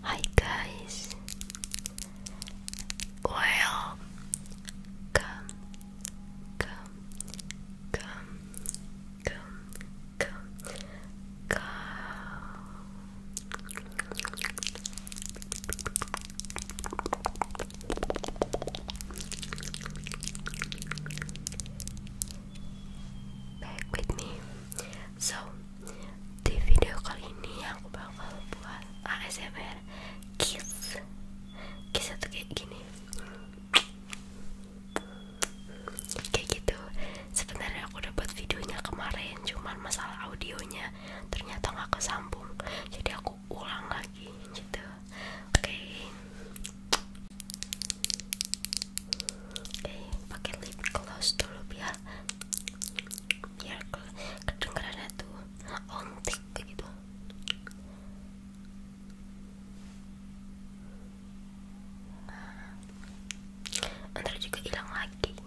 Hi guys, well, come, come, come, come, come, come. Back with me. So, di video kali ini aku bakal buat ASMR kiss. Kiss itu kayak gini. Kayak gitu. Sebenarnya aku udah buat videonya kemarin, cuman masalah audionya ternyata nggak kesambung jadi aku ulang lagi gitu oke okay. oke okay, pakai lip gloss dulu biar biar kedengerannya tuh ontik gitu Ntar juga hilang lagi. Oke,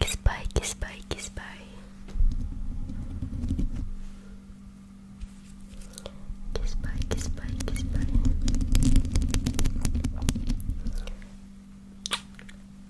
Kiss bye, kiss bye, kiss bye. Kiss bye, kiss bye, kiss bye.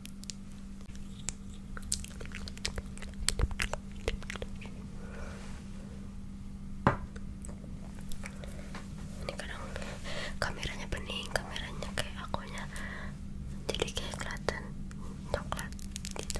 ini kadang kameranya bening kameranya kayak akunya jadi kayak kelihatan coklat gitu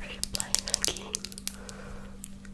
Are you playing a game?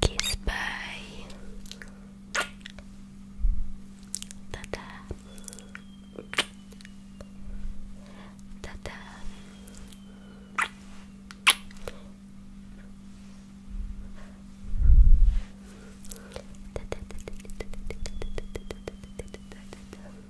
Kiss bye. Tata. Tata.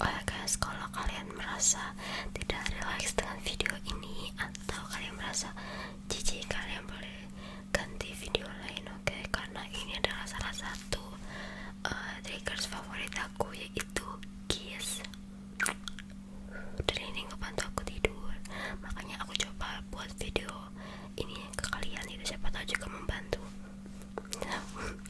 Oh ya guys, kalau kalian merasa tidak relax dengan video ini atau kalian merasa jijik, kalian boleh ganti video lain, oke? Karena ini adalah salah satu uh, triggers favorit aku yaitu kiss. Dari ini ngebantu aku tidur, makanya aku coba buat video ini ke kalian itu siapa tahu juga membantu.